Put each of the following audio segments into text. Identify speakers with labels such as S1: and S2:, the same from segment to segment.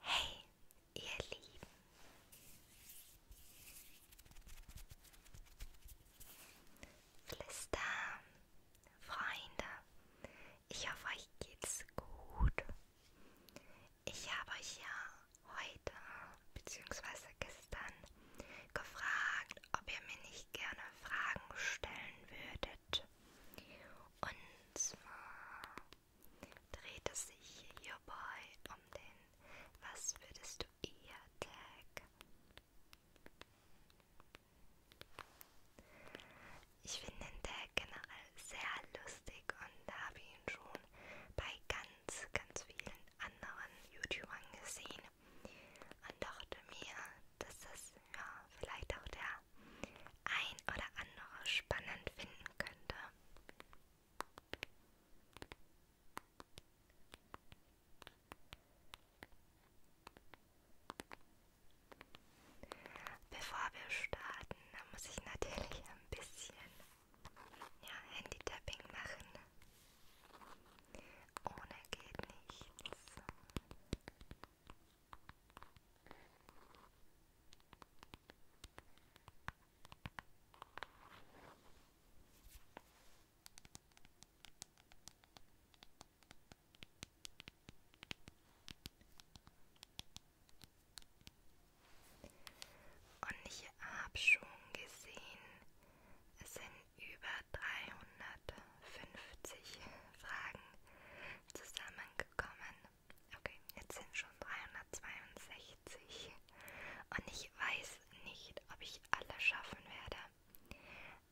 S1: Hey, ihr Lieben. Flister, Freunde, ich hoffe, euch geht's gut. Ich habe euch ja heute bzw. gestern gefragt, ob ihr mir nicht gerne Fragen stellen würdet. Und zwar dreht es sich hierbei um den Was würdest du eher Tag. Ich finde den Tag generell sehr lustig und habe ihn schon bei ganz, ganz vielen anderen YouTubern gesehen und dachte mir, dass das ja vielleicht auch der ein oder andere spannend finden könnte. Bevor wir starten, da muss ich natürlich ein bisschen ja, Handy-Tapping machen. Ohne geht nichts. Und ich habe schon gesehen, es sind über 350 Fragen zusammengekommen. Okay, jetzt sind schon 362 und ich weiß nicht, ob ich alle schaffen werde,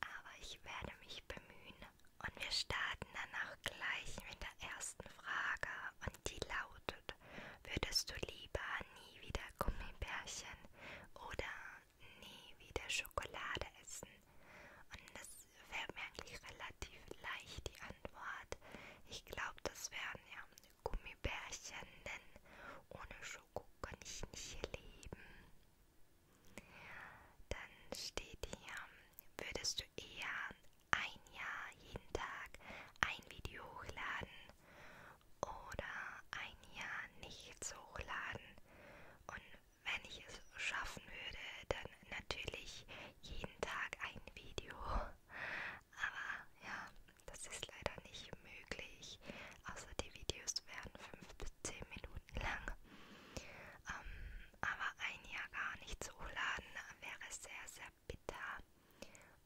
S1: aber ich werde mich bemühen und wir starten dann auch gleich mit der ersten Frage und die lautet, würdest du lieber nie wieder Gummibärchen oder nie wieder Schokolade essen? Und das fällt mir eigentlich relativ leicht die Antwort. Ich glaube, das wären ja Gummibärchen, denn ohne Schoko kann ich nicht leben. Dann steht hier, würdest du eher ein Jahr jeden Tag ein Video hochladen oder ein Jahr nichts hochladen? Und wenn ich es schaffen würde, dann natürlich jeden Tag ein Video. Aber ja, das ist leider nicht möglich. Außer die Videos werden 5 bis 10 Minuten lang. Ähm, aber ein Jahr gar nicht zu hochladen wäre sehr, sehr bitter.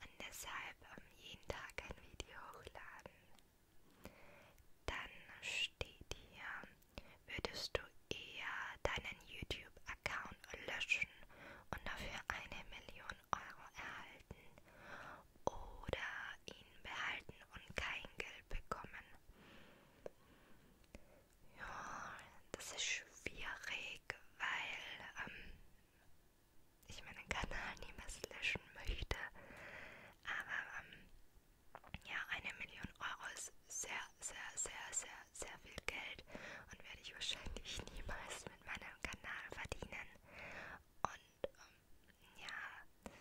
S1: Und deshalb ähm, jeden Tag ein Video hochladen. Dann steht hier, würdest du eher deinen YouTube YouTube-Account löschen und dafür eine Million Euro erhalten oder ihn behalten und kein Geld bekommen. Ja, das ist schwierig, weil ähm, ich meinen Kanal niemals löschen möchte. Aber ähm, ja, eine Million Euro ist sehr, sehr, sehr, sehr, sehr viel Geld und werde ich wahrscheinlich niemals mit meinem Kanal verdienen. Und ähm, ja,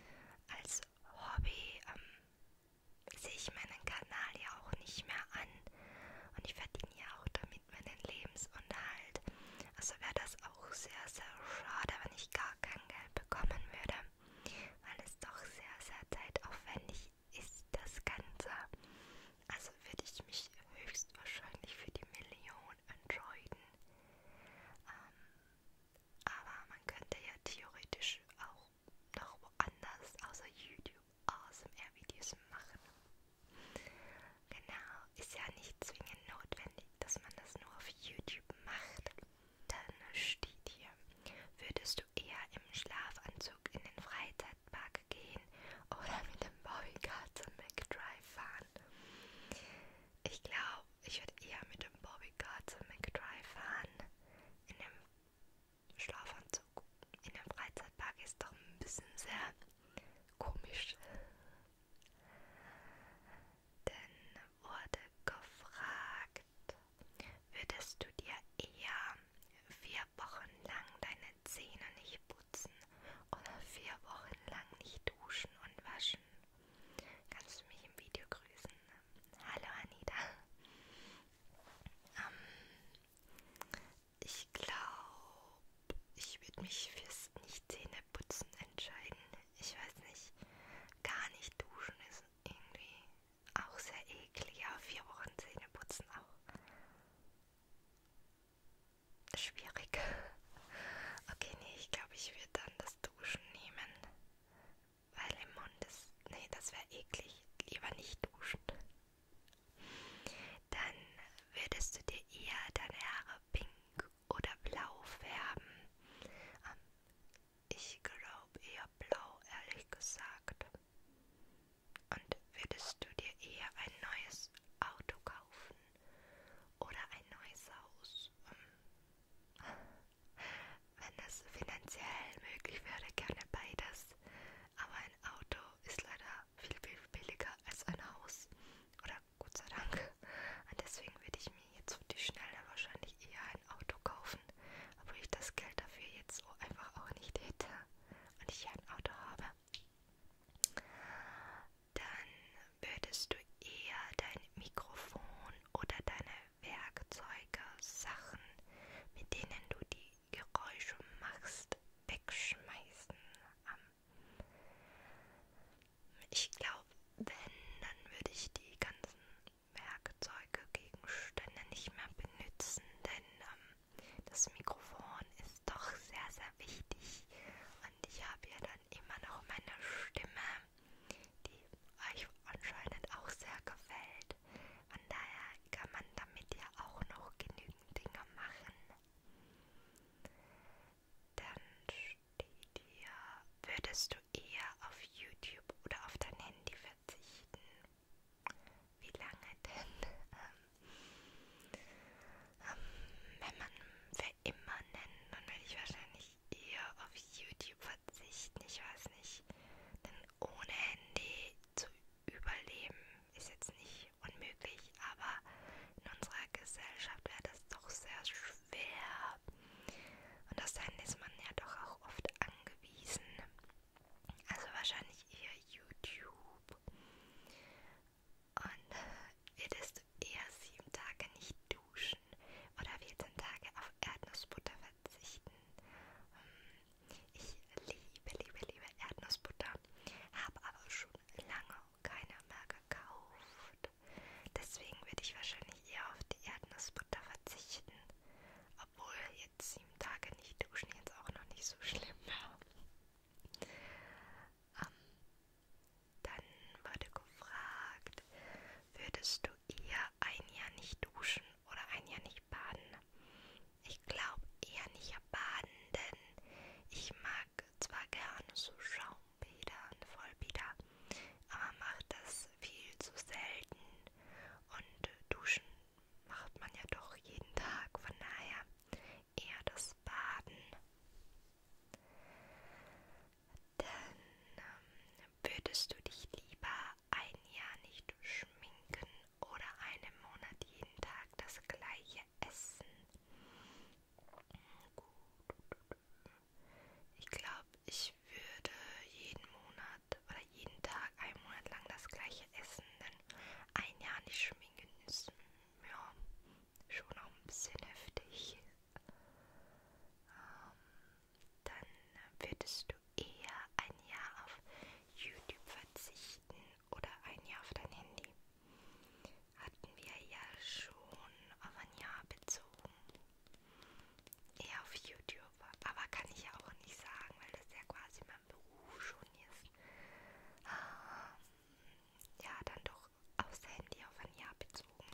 S1: als Hobby ähm, sehe ich meinen Kanal ja auch nicht mehr an und ich verdiene ja auch damit meinen Lebensunterhalt. Also wäre das auch sehr, sehr schade, wenn ich gar kein Geld bekommen würde, weil es doch sehr, sehr zeitaufwendig ist das Ganze. Also würde ich mich höchstwahrscheinlich für die Million entscheiden. Ähm, aber man könnte ja theoretisch auch noch woanders außer YouTube ASMR-Videos machen. Genau, ist ja nicht zwingend notwendig, dass man das nur auf YouTube macht. Dann steht hier, würdest würdest du eher im Schlafanzug in den Freizeitpark gehen oder mit dem Bobbycar zum McDrive fahren? Ich glaube, ich würde eher mit dem Bobbycar zum McDrive fahren. In dem Schlafanzug in dem Freizeitpark ist doch ein bisschen sehr komisch. Denn wurde gefragt, würdest du dir eher vier Wochen lang deine Zähne nicht putzen oder vier Wochen lang nicht duschen und waschen. Kannst du mich im Video grüßen? Hallo Anita. Ähm, ich glaube, ich würde mich fürs Nicht-Zähneputzen entscheiden. Ich weiß nicht, gar nicht duschen ist irgendwie auch sehr eklig, aber vier Wochen Zähne putzen auch. Schwierig. Okay, nee, ich glaube, ich würde dann das Duschen nehmen. Weil im Mund ist. Nee, das wäre eklig. Lieber nicht duschen. Dann würdest du dir eher deine Haare pink oder blau färben. Ähm, ich glaube eher blau, ehrlich gesagt. Und würdest du dir eher ein neues Auto kaufen oder ein neues Haus? Ähm, wenn es finanziell möglich wäre, gerne beides. Aber ein Auto ist leider viel, viel billiger als ein Haus. Oder Gott sei Dank. Und deswegen würde ich mir jetzt auf die Schnelle wahrscheinlich eher ein Auto kaufen, obwohl ich das Geld dafür jetzt so einfach auch nicht hätte und ich ein Auto habe, dann würdest du eher dein Mikrofon oder deine Werkzeuge, Sachen, mit denen du die Geräusche machst, wegschmeißen. Ich glaube, wenn, dann würde ich die ganzen Werkzeuge, Gegenstände nicht mehr benutzen, denn ähm, das Mikrofon ist doch sehr, sehr wichtig. Und ich habe ja dann immer noch meine Stimme, die euch anscheinend auch sehr gefällt. Von daher kann man damit ja auch noch genügend Dinge machen. Dann steht hier, würdest du eher auf YouTube oder auf dein Handy verzichten? Wie lange denn? Ähm, ähm, wenn man für immer nennt, dann werde ich wahrscheinlich eher auf YouTube verzichten. Ich weiß nicht. Denn ohne Handy zu überleben ist jetzt nicht unmöglich, aber in unserer Gesellschaft wäre das doch sehr schwer. Und das Handy ist man ja doch auch oft angewiesen. Also wahrscheinlich eher YouTube. Und würdest du eher sieben Tage nicht duschen oder 14 Tage auf Erdnussbutter verzichten? Hm, ich liebe, liebe, liebe Erdnussbutter, habe aber schon lange keine mehr gekauft. Deswegen würde ich wahrscheinlich eher auf die Erdnussbutter verzichten. Obwohl jetzt sieben Tage nicht duschen jetzt auch noch nicht so schlimm war. Ähm, dann wurde gefragt, würdest du eher ein Jahr nicht duschen oder ein Jahr nicht baden? Ich glaube eher nicht baden, denn ich mag zwar gerne so Schaumbäder und Vollbäder, aber macht das viel zu selten und duschen macht man ja doch jeden Tag, von daher eher das Baden. Dann ähm, würdest du dich lieber ein Jahr nicht schminken oder einen Monat jeden Tag das gleiche essen? Gut. Ich glaube, ich würde jeden Monat oder jeden Tag einen Monat lang das gleiche essen, dann ein Jahr nicht schminken ist ja schon auch ein bisschen heftig. Ähm, dann würdest du eher ein Jahr auf YouTube verzichten oder ein Jahr auf dein Handy. Hatten wir ja schon auf ein Jahr bezogen. Eher auf YouTube. Aber kann ich ja auch nicht sagen, weil das ja quasi mein Beruf schon jetzt, ähm, ja, dann doch aufs Handy auf ein Jahr bezogen.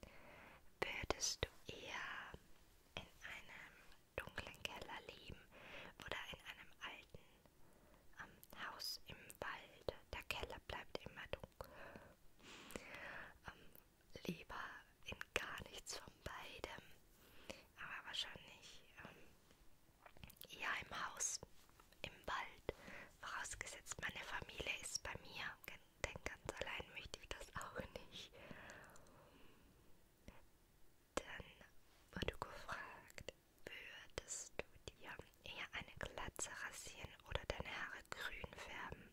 S1: Genau. Würdest du eher in einem dunklen Keller leben oder in einem alten ähm, Haus im Wald? Der Keller bleibt immer dunkel. Ähm, lieber in gar nichts von beidem, aber wahrscheinlich ähm, eher im Haus, im Wald. Vorausgesetzt, meine Familie ist bei mir, denn ganz allein möchte ich das auch nicht. Dann wurde gefragt, würdest du dir eher eine Glatze rasieren oder deine Haare grün färben?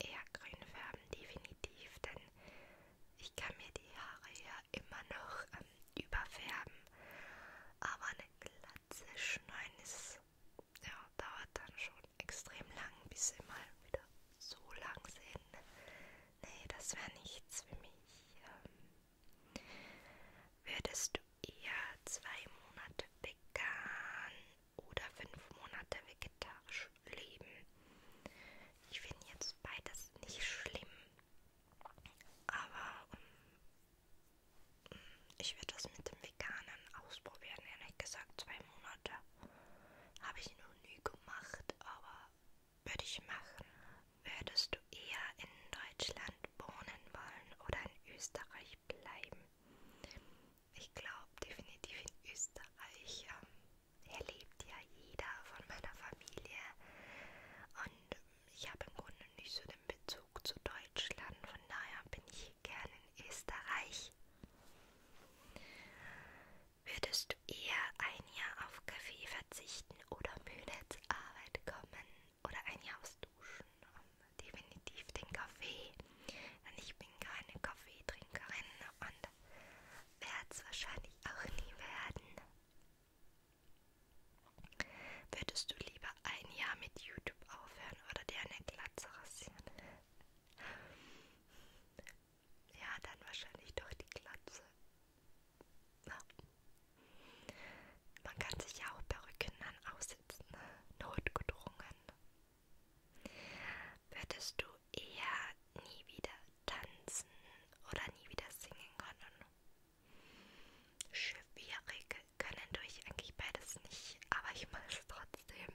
S1: Eher grün färben, definitiv, denn ich kann mir die Haare ja immer noch ähm, überfärben, aber eine Glatze schneiden ist, ja, dauert dann schon extrem lang, bis sie mal wieder so lang sind. Nee, das wäre nichts für mich. Ähm, würdest du eher zwei Monate vegan oder fünf Monate vegetarisch leben. Ich finde jetzt beides nicht schlimm, aber um, ähm, mm, ich werde das mit dem Veganen ausprobieren. Ehrlich gesagt, zwei Monate habe ich noch nie gemacht, aber würde ich machen. Würdest du eher in Deutschland wohnen wollen oder in Österreich bleiben? Ich glaube definitiv in Österreich. Ähm, erlebt ja jeder von meiner Familie. Und ich habe im Grunde nicht so den Bezug zu Deutschland, von daher bin ich gern in Österreich. Würdest du eher ein Jahr auf Kaffee verzichten oder müde zur Arbeit kommen oder ein Jahr aufs Duschen? Definitiv den Kaffee, denn ich bin keine Kaffeetrinkerin und werde es wahrscheinlich auch nie werden. Würdest du lieber ein Jahr mit YouTube aufhören oder dir eine Glatze rasieren? Ja, dann wahrscheinlich doch die Glatze. Ja. Man kann sich ja auch Perücken dann aussitzen, ne? notgedrungen. Würdest du eher nie wieder tanzen oder nie wieder singen können. Schwierig können tue ich eigentlich beides nicht, aber ich mache es trotzdem.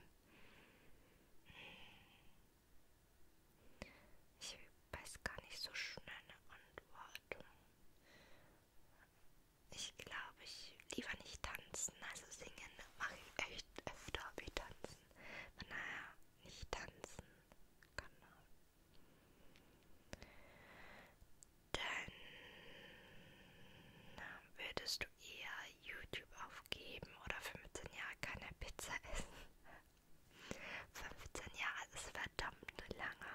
S1: Ich weiß gar nicht so schnell eine Antwort. Ich glaube, ich lieber nicht tanzen, also singen mache ich echt öfter wie tanzen tanzen. Aber naja, nicht tanzen kann man. Dann würdest du eher YouTube aufgeben oder 15 Jahre keine Pizza essen. 15 Jahre ist verdammt lange.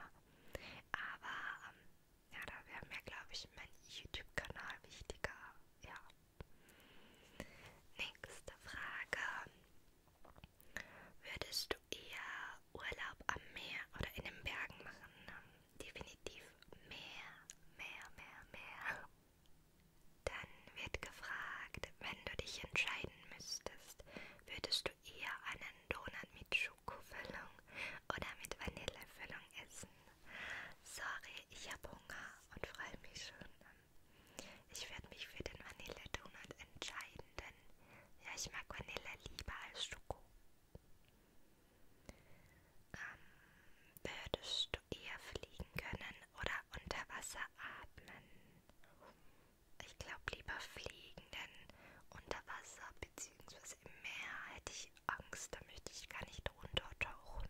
S1: Aber ähm, ja, da wäre mir, glaube ich, mein YouTube-Kanal wichtiger. Ja. Nächste Frage. Würdest du eher Urlaub am Meer oder in den Bergen machen? Definitiv Meer, Meer, Meer, Meer. Dann wird gefragt, wenn du dich entscheiden müsstest, würdest du eher einen Donut mit Schokofüllung oder mit Vanillefüllung essen? Sorry, ich habe Hunger und freue mich schon ich werde mich für den Vanille-Donut entscheiden, denn ja, ich mag Vanille lieber als Schoko. Ähm, würdest du eher fliegen können oder unter Wasser atmen? Ich glaube lieber fliegen, denn unter Wasser bzw. im Meer hätte ich Angst, da möchte ich gar nicht runtertauchen.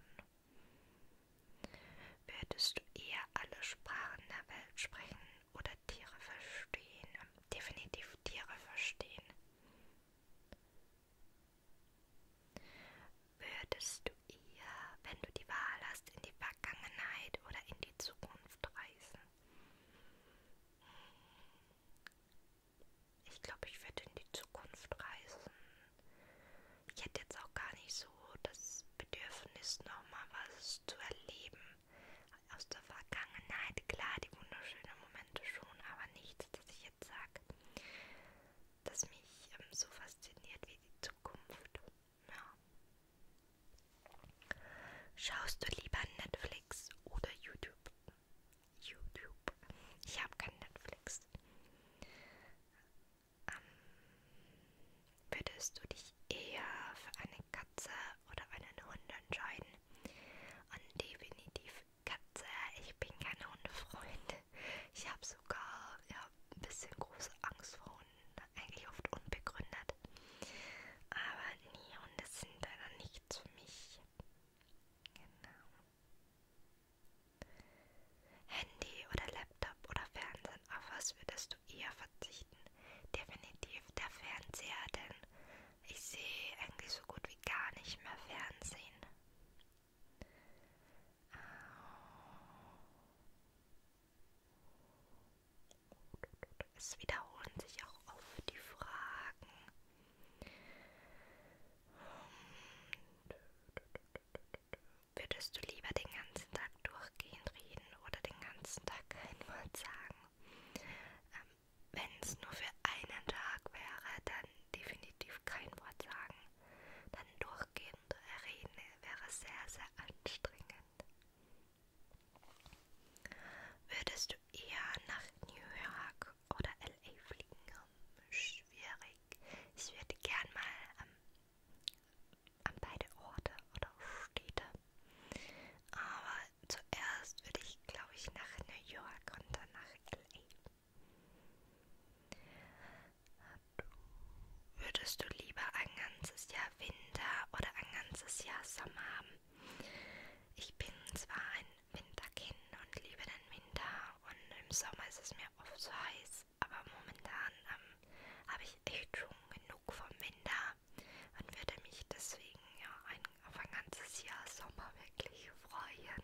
S1: Würdest du eher alle Sprachen der Welt sprechen oder Tiere verstehen? Definitiv Tiere verstehen. Würdest du eher, wenn du die Wahl hast, in die Vergangenheit oder in die Zukunft reisen? Ich glaube, ich werde in die Zukunft reisen. Ich hätte jetzt auch gar nicht so das Bedürfnis, nochmal was zu erleben aus der Vergangenheit. Klar, die wunderschönen Momente schon, aber nichts, dass ich jetzt sage, dass mich ähm, so fasziniert wie die Zukunft. Ja. Schaust du lieber Netflix oder YouTube? YouTube. Ich habe kein Netflix. Ähm, würdest du dich eher für eine Katze oder einen Hund entscheiden? Und definitiv Katze. Ich bin kein Hundefreund. Ich habe sogar ja, ein bisschen große Angst vor Hunden. Eigentlich oft unbegründet. Aber nee, Hunde sind leider nichts für mich. Genau. Handy oder Laptop oder Fernsehen, auf was würdest du eher verzichten. Definitiv der Fernseher, denn ich sehe eigentlich so gut wie gar nicht mehr Fernsehen. Es wiederholen sich auch oft die Fragen. Hm. Würdest du lieber den ganzen Tag durchgehend reden oder den ganzen Tag kein Wort sagen? Ähm, Wenn es nur für einen Tag wäre, dann definitiv kein Wort sagen. Dann durchgehend reden wäre sehr, sehr anstrengend. Würdest du eher nach New York oder LA fliegen? Schwierig. Ich würde gern mal ähm, an beide Orte oder Städte. Aber zuerst würde ich, glaube ich, nach New York und dann nach LA. Würdest du lieber ein ganzes Jahr Winter oder ein ganzes Jahr Sommer haben? Ich bin zwar ein Winterkind und liebe den Winter und im Sommer ist es mir oft zu so heiß, aber momentan ähm, habe ich echt schon genug vom Winter und würde mich deswegen ja, ein, auf ein ganzes Jahr Sommer wirklich freuen.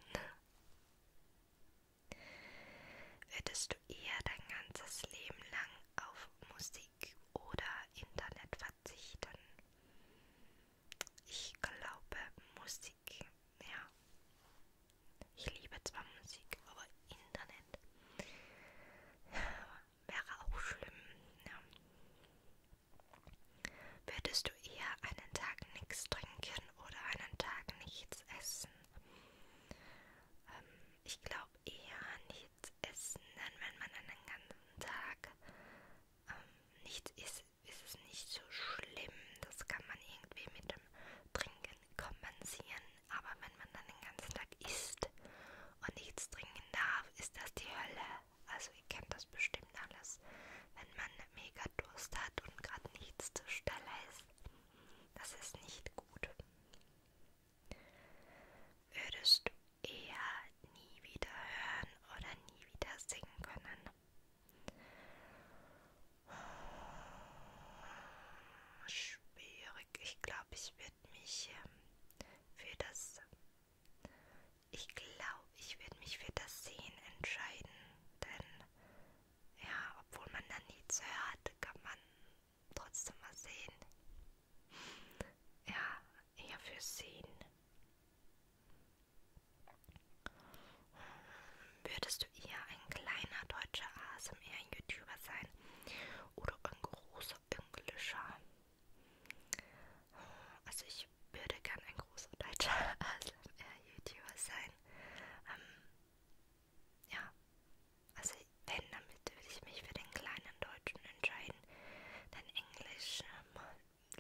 S1: Würdest du eher dein ganzes Leben lang auf Musik oder Internet verzichten? Ich glaube Musik, ja. Ich liebe zwar Musik, aber Internet wäre auch schlimm. Ja. Würdest du eher einen Tag nichts trinken oder einen Tag nichts essen? Ähm, ich glaube eher nichts essen, denn wenn man einen ganzen Tag ähm, nichts isst, ist es nicht so schlimm. Das kann man irgendwie mit dem Trinken kompensieren, aber wenn man dann den ganzen Tag isst und nichts trinken darf, ist das die Hölle. Also ihr kennt das bestimmt alles, wenn man mega Durst hat und gerade nichts zur Stelle ist. Das ist nicht gut. Würdest du eher nie wieder hören oder nie wieder singen können? Schwierig schwierig. Ich glaube, ich werde mich ähm, für das. Ich glaube, ich werde mich für das Sehen entscheiden. Denn ja, obwohl man da nichts hört, kann man trotzdem mal sehen. Ja, eher für Sehen. Hm, würdest du eher ein kleiner deutscher ASMR-YouTuber sein oder ein großer Englischer. Also ich würde gern ein großer deutscher ASMR-YouTuber sein. Ähm, ja, also wenn, dann würde ich mich für den kleinen Deutschen entscheiden. Denn Englisch ähm,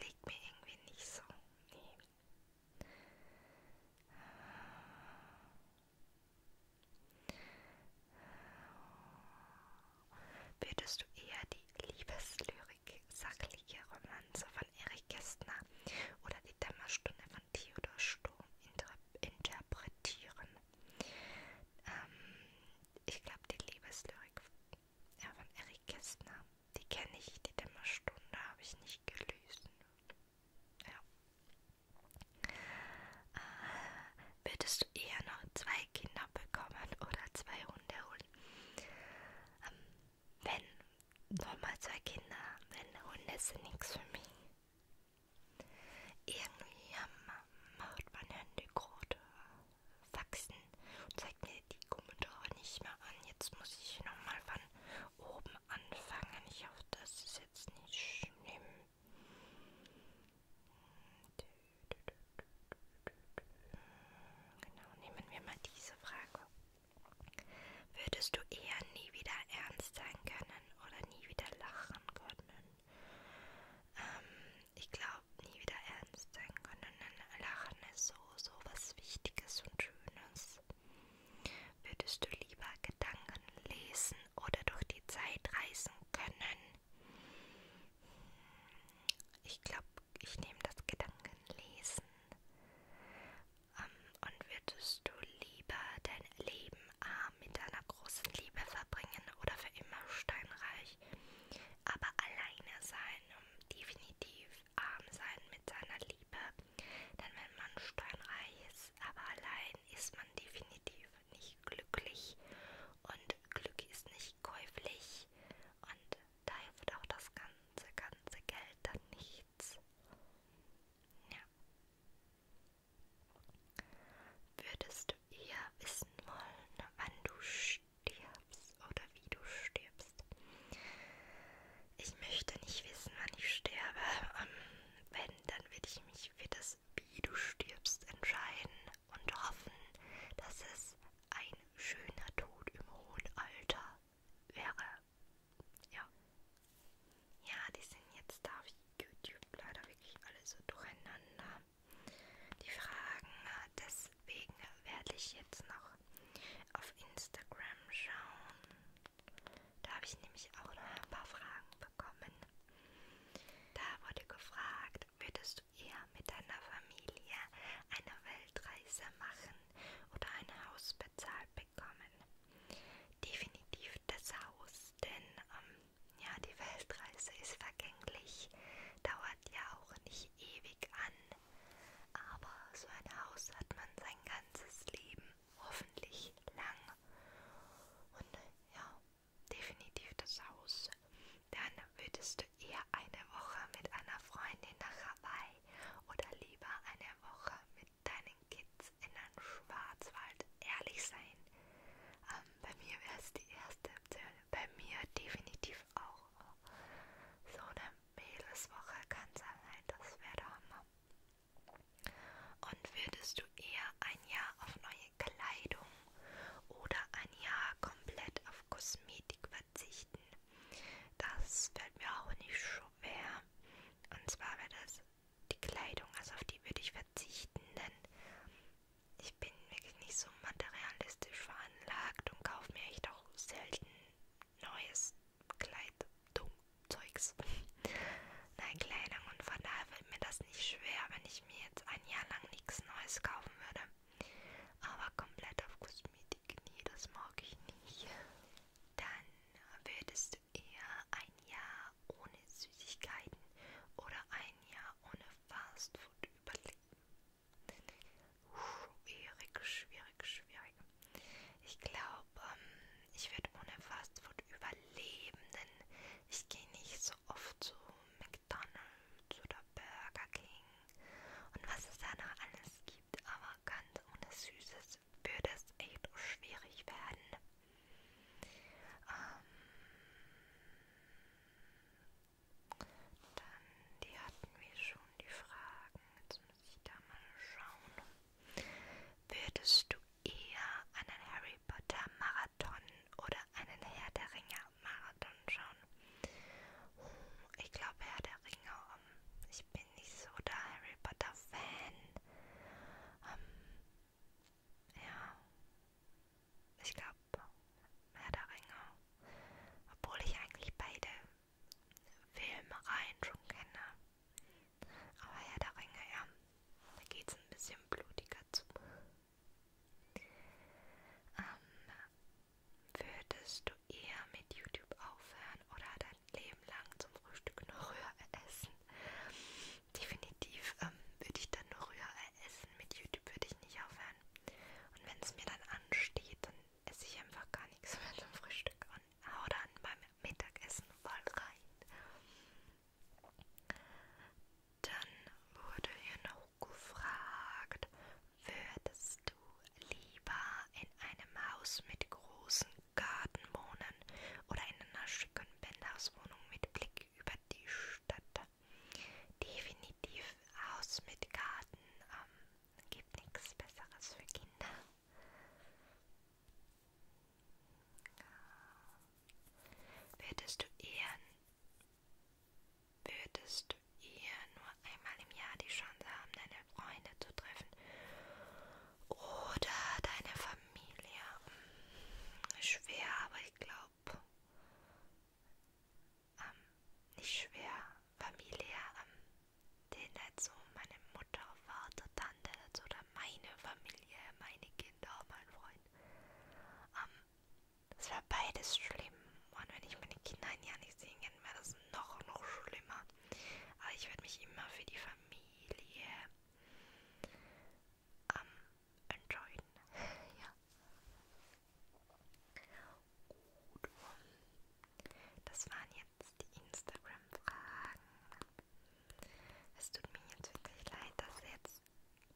S1: liegt mir irgendwie nicht so. Nee. Würdest du eher die Liebeslyrik sachliche Romanze von Erich Kästner oder die Dämmerstunde von Theodor Sturm interpretieren? Ähm, ich glaube, die Liebeslyrik ja, von Erich Kästner, die kenne ich, die Dämmerstunde habe ich nicht gelesen. Ja. Äh, würdest du eher noch zwei Kinder bekommen oder zwei Hunde holen? Ähm, wenn, nochmal zwei Kinder, wenn Hunde sind nichts für mich. Irgendwie macht meine Hände gerade Wachsen und zeigt mir die Kommentare nicht mehr an. Jetzt muss ich nochmal von oben anfangen. Ich hoffe, das ist jetzt nicht schlimm. Genau, nehmen wir mal diese Frage. Würdest du eher nie wieder ernst sein können oder nie wieder lachen können? Ähm, ich glaube, nie wieder ernst sein können. Denn lachen ist so, so was Wichtiges und Schönes. Würdest du lieber Gedanken lesen oder durch die Zeit reisen können. Ich glaube, ich nehme das Gedankenlesen. Um, ähm, und würdest du lieber dein Leben A mit einer großen Liebe verbringen oder für immer steinreich, aber alleine sein, um definitiv arm sein mit seiner Liebe? Denn wenn man steinreich ist, aber allein ist man definitiv nicht glücklich und Glück ist nicht käuflich und daher wird auch das ganze, ganze Geld dann nichts. Ja. Würdest du eher wissen wollen, wann du stirbst oder wie du stirbst? Ich möchte nicht wissen, wann ich sterbe. Um, ähm, wenn, dann würde ich mich für das wie du stirbst, entscheiden und hoffen, dass es ein schöner Tod im hohen Alter wäre. Ja. Ja, die sind jetzt da wie YouTube leider wirklich alle so durcheinander. Die Fragen, äh, deswegen werde ich jetzt noch auf Instagram schauen. Da habe ich nämlich auch noch ein paar Fragen bekommen. Da wurde gefragt, würdest du eher mit deiner Familie eine Weltreise machen oder ein Haus bezahlt bekommen? Definitiv das Haus, denn ähm, ja, die Weltreise ist vergänglich, dauert ja auch nicht ewig an, aber so ein Haus hat man sein ganzes Leben hoffentlich lang. Und äh, ja, definitiv das Haus. Dann würdest du eher eine Woche mit einer Freundin nach Hawaii oder lieber eine Woche mit deinen Kids in den Schwarzwald ehrlich sein. Ähm, bei mir wäre es die erste Option. Bei mir definitiv auch. So eine Mädelswoche kann sein, das wäre der Hammer. Und würdest du eher ein Jahr auf neue Kleidung oder ein Jahr komplett auf Kosmetik verzichten? Das fällt mir auch nicht schwer. Und zwar wäre das die Kleidung, also auf die würde ich verzichten, denn ich bin wirklich nicht so materialistisch veranlagt und kaufe mir echt auch selten neues Kleidung, Zeugs neue Kleidung und von daher wird mir das nicht schwer, wenn ich mir jetzt ein Jahr lang nichts Neues kaufen würde. Aber komplett auf Kosmetik, nie, das mag ich nicht. Dann würdest du eher ein Jahr ohne Süßigkeiten oder ein Jahr ohne Fastfood überleben. Schwierig, schwierig, schwierig. Ich glaube, ähm, ich würde ohne Fastfood und Überlebenden. Ich gehe nicht so oft zu McDonald's oder Burger King und was es da noch alles gibt, aber ganz ohne Süßes würde es echt schwierig werden. Ähm dann, die hatten wir schon, die Fragen. Jetzt muss ich da mal schauen. Würdest du eher einen Harry Potter Marathon Marathon oder einen Herr der Ringe Marathon schauen. Hm, ich glaube Herr der Ringe. Um, ähm, ich bin nicht so der Harry Potter Fan. Um, ähm, ja, ich glaube Herr der Ringe. Obwohl ich eigentlich beide Filmreihen schon kenne. Aber Herr der Ringe, ja. Da geht es ein bisschen blutiger zu. Ähm, würdest du eher mit YouTube aufhören oder dein Leben lang zum Frühstück noch Rührei essen? Definitiv ähm, würde ich dann nur Rührei essen. Mit YouTube würde ich nicht aufhören. Und wenn es mir dann ansteht, dann esse ich einfach gar nichts mehr zum Frühstück und hau dann beim Mittagessen voll rein. Dann wurde hier noch gefragt, würdest du lieber in einem Haus mit großen Garten wohnen oder in einer schicken Penthouse-Wohnung mit Blick über die Stadt? Definitiv Haus mit Garten. Ähm, gibt nichts Besseres für Kinder. Würdest du eher, würdest du eher nur einmal im Jahr die Chance haben, deine Freunde zu treffen oder deine Familie? Hm, schwer, aber ich glaube, ähm, nicht schwer. Familie, ähm, den dazu meine Mutter, Vater, Tante dazu also oder meine Familie, meine Kinder, mein Freund. Ähm, das war beides schlimm. Und wenn ich meine Kinder ein Jahr nicht sehen kann, wäre das noch, noch schlimmer. Aber ich werde mich immer für die Familie ähm, entscheiden. ja. Gut. Das waren jetzt die Instagram-Fragen. Es tut mir jetzt wirklich leid, dass jetzt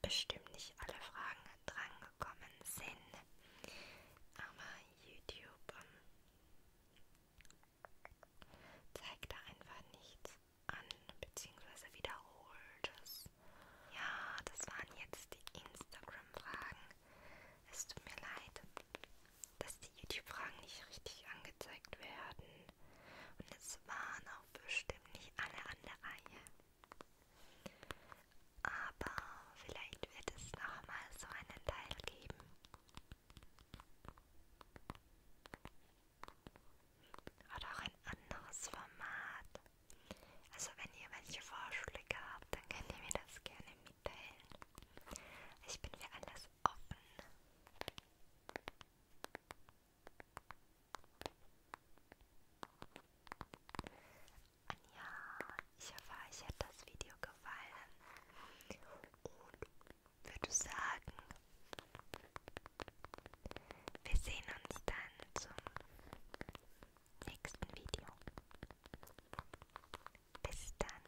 S1: bestimmt nicht alle Fragen drangekommen sind, aber YouTube ähm, zeigt da einfach nichts an, beziehungsweise wiederholt es. Ja, das waren jetzt die Instagram-Fragen. Es tut mir leid, dass die YouTube-Fragen nicht richtig angezeigt werden. Und es es waren auch bestimmt nicht alle an der Reihe. Aber vielleicht wird es noch mal so einen Teil geben. Oder auch ein anderes Format. Also wenn ihr welche Vorschläge habt, dann könnt ihr mir das gerne mitteilen. Ich bin für alles offen. Anja, ich hoffe, euch hat das Video gefallen. Und würde sagen, wir sehen uns dann zum nächsten Video. Bis dann.